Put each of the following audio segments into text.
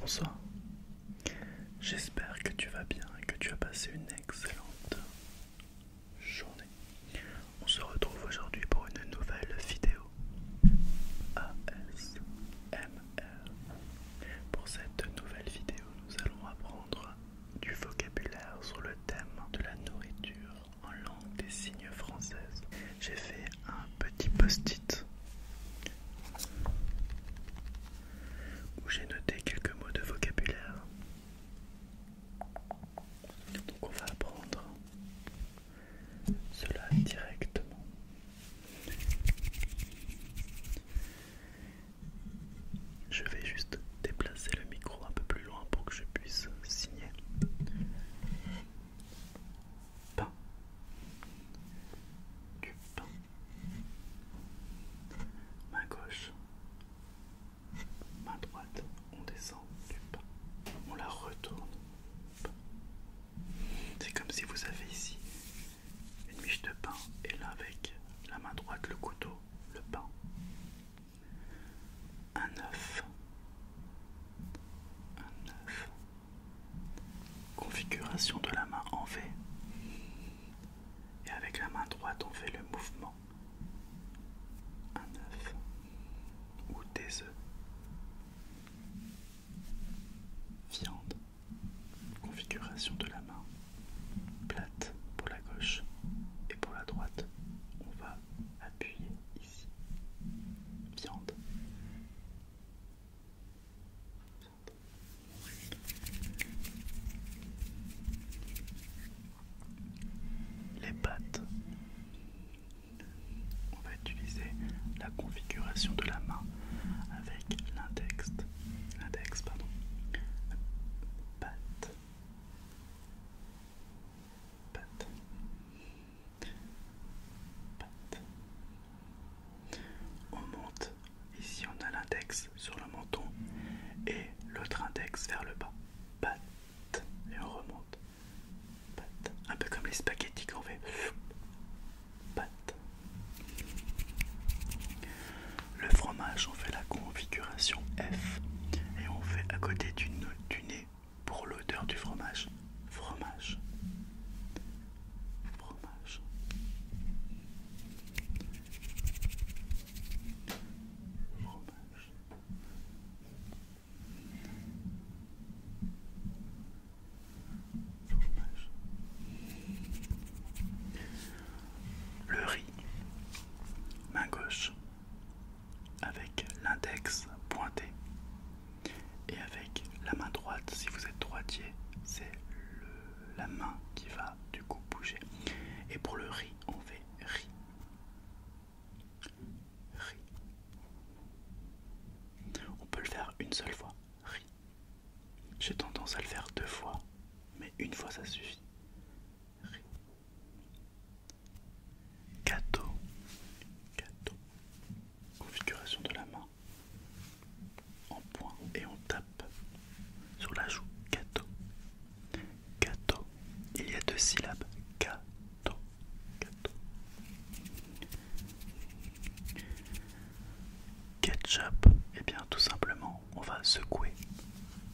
Bonsoir, j'espère que tu vas bien et que tu as passé une excellente journée. On se retrouve aujourd'hui pour une nouvelle vidéo ASMR. Pour cette nouvelle vidéo, nous allons apprendre du vocabulaire sur le thème de la nourriture en langue des signes française. J'ai fait un petit post-it où j'ai noté quelques mots de vocabulaire. Donc on va apprendre cela directement. Je vais juste déplacer le micro un peu plus loin pour que je puisse signer. Pain. Du Main gauche. Main droite, on descend du pain. On la retourne. C'est comme si vous avez ici une miche de pain et là avec la main droite, le couteau, le pain. Un œuf. Un œuf. Configuration de la main en V. Et avec la main droite, on fait le mouvement un œuf ou des œufs, viande, configuration de la main, plate pour la gauche et pour la droite, on va appuyer ici, viande. viande les pattes. On va utiliser la configuration de la main avec l'index, l'index pardon, patte, patte, patte. On monte. Ici on a l'index sur le menton et l'autre index vers le bas. Patte et on remonte. Un peu comme les spaghettis qu'on fait. pâte Le fromage, on fait la configuration F et on fait à côté du nez pour l'odeur du fromage. Fromage. Fromage. Fromage. Le riz, main gauche, avec l'index pointé. Et avec la main droite, si vous êtes droitier, c'est la main qui va du coup bouger. Et pour le riz, on fait riz. On peut le faire une seule fois. Ri. J'ai tendance à le faire deux fois, mais une fois ça suffit. rire, Gâteau. Configuration de la main. En point et on tape sur la joue. Gâteau. Kato. Il y a deux syllabes. Ketchup. et eh bien, tout simplement, on va secouer.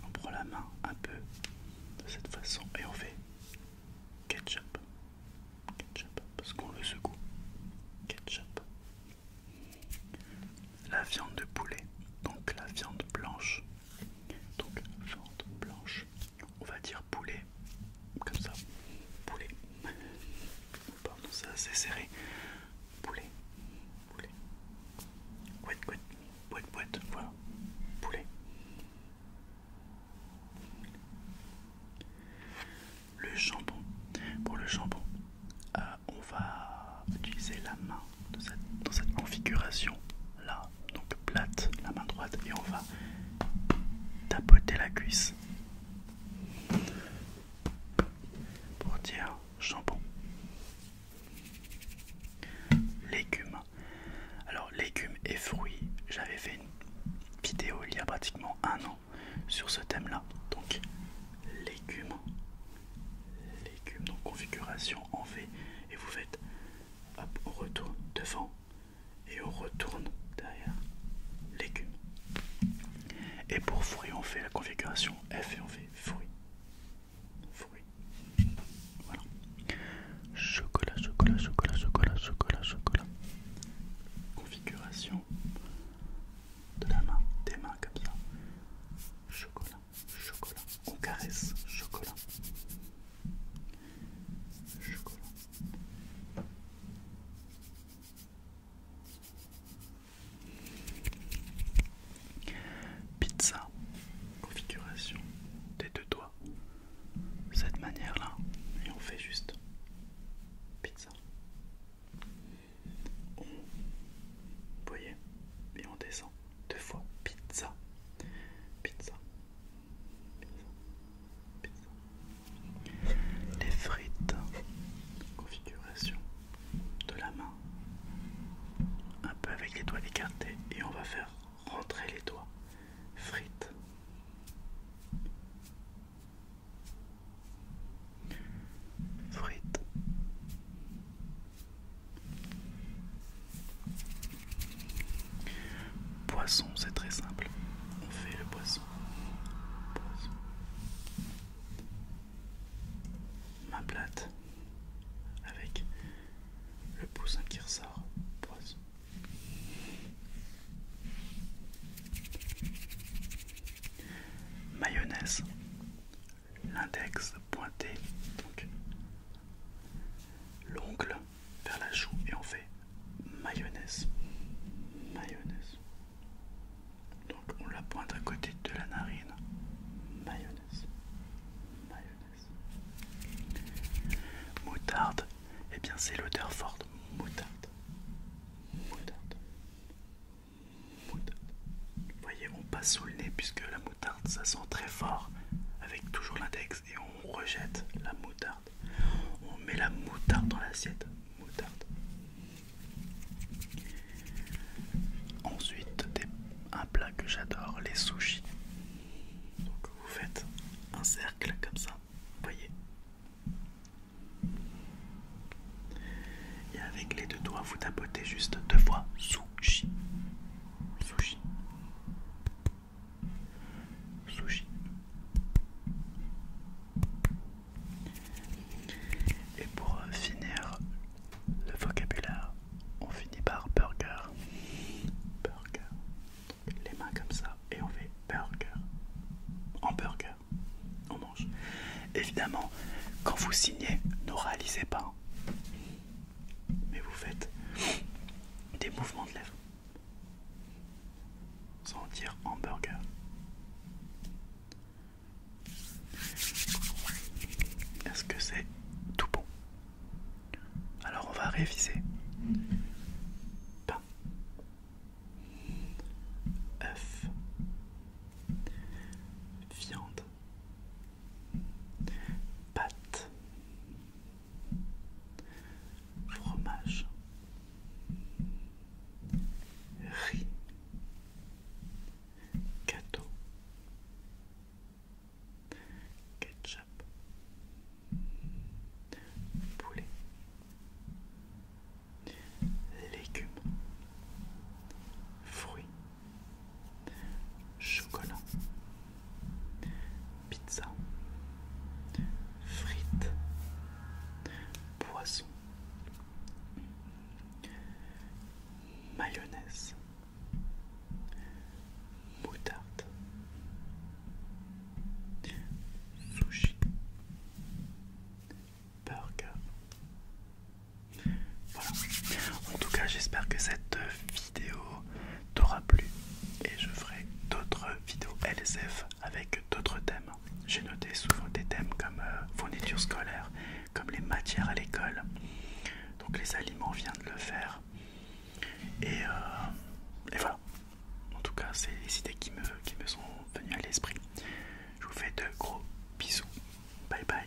On prend la main un peu de cette façon et on fait ketchup. Ketchup. Parce qu'on le secoue. Ketchup. La viande de poulet, donc la viande blanche, donc vente blanche, on va dire poulet, comme ça, poulet. Pardon, c'est serré. Poulet, poulet. Couette, couette, boîte, boîte, voilà. Poulet. Le shampoing, Pour le shampoing, euh, on va utiliser la main dans cette configuration là, donc plate, la main droite, et on va tapoter la cuisse pour dire jambon. Légumes. Alors légumes et fruits, j'avais fait une vidéo il y a pratiquement un an sur ce thème-là. Donc légumes, légumes, donc configuration en V et vous faites on retourne devant et on retourne derrière. Légume. Et pour fruits, on fait la configuration F et on fait fruits. Fruits. Voilà. Chocolat, chocolat, chocolat, chocolat, chocolat, chocolat. Configuration de la main, des mains comme ça. Chocolat chocolat. On caresse, chocolat. Chocolat. Pizza, configuration des deux doigts. Cette manière-là, et on fait juste pizza. On, vous voyez, et on descend. Deux fois pizza. Pizza. Pizza. Pizza. Les frites. Configuration de la main. Un peu avec les doigts écartés et on va faire rentrer les doigts. Frites. Frites. Frites. Poisson, c'est très simple. On fait le poisson. poisson. Ma plate avec le poussin qui ressort. Poisson. Mayonnaise l'index pointé, donc l'ongle vers la joue et on fait mayonnaise. Mayonnaise. Donc on la pointe à côté de la narine. Mayonnaise. Mayonnaise. Moutarde. et eh bien c'est l'odeur forte. Moutarde. Moutarde. Moutarde. Vous voyez, on passe sous le nez puisque la moutarde, ça sent très fort avec toujours l'index et on rejette la moutarde. On met la moutarde dans l'assiette. Moutarde. Ensuite, un plat que j'adore, les sushis. Donc vous faites un cercle comme ça, vous voyez. Et avec les deux doigts, vous tapotez juste deux fois. sous. Sushi. Sushi. Sushi. Et pour euh, finir le vocabulaire, on finit par burger. Burger. Les mains comme ça et on fait burger. En burger. On mange. Évidemment, quand vous signez, ne réalisez pas mais vous faites des mouvements de lèvres sans dire hamburger. Est-ce que c'est tout bon Alors on va réviser. Pain. œuf, viande, pâte, fromage, riz, gâteau, ketchup, poulet, légumes, fruits chocolat, pizza, frites, poisson, mayonnaise, moutarde, sushi, burger. Voilà. En tout cas, j'espère que cette vidéo t'aura plu et je ferai d'autres vidéos LSF avec d'autres thèmes. J'ai noté souvent des thèmes comme fournitures euh, fourniture scolaire, comme les matières à l'école. Donc les aliments vient de le faire. Euh, et, voilà. En tout cas, c'est les idées qui me sont venues à l'esprit. Je vous fais de gros bisous. Bye bye.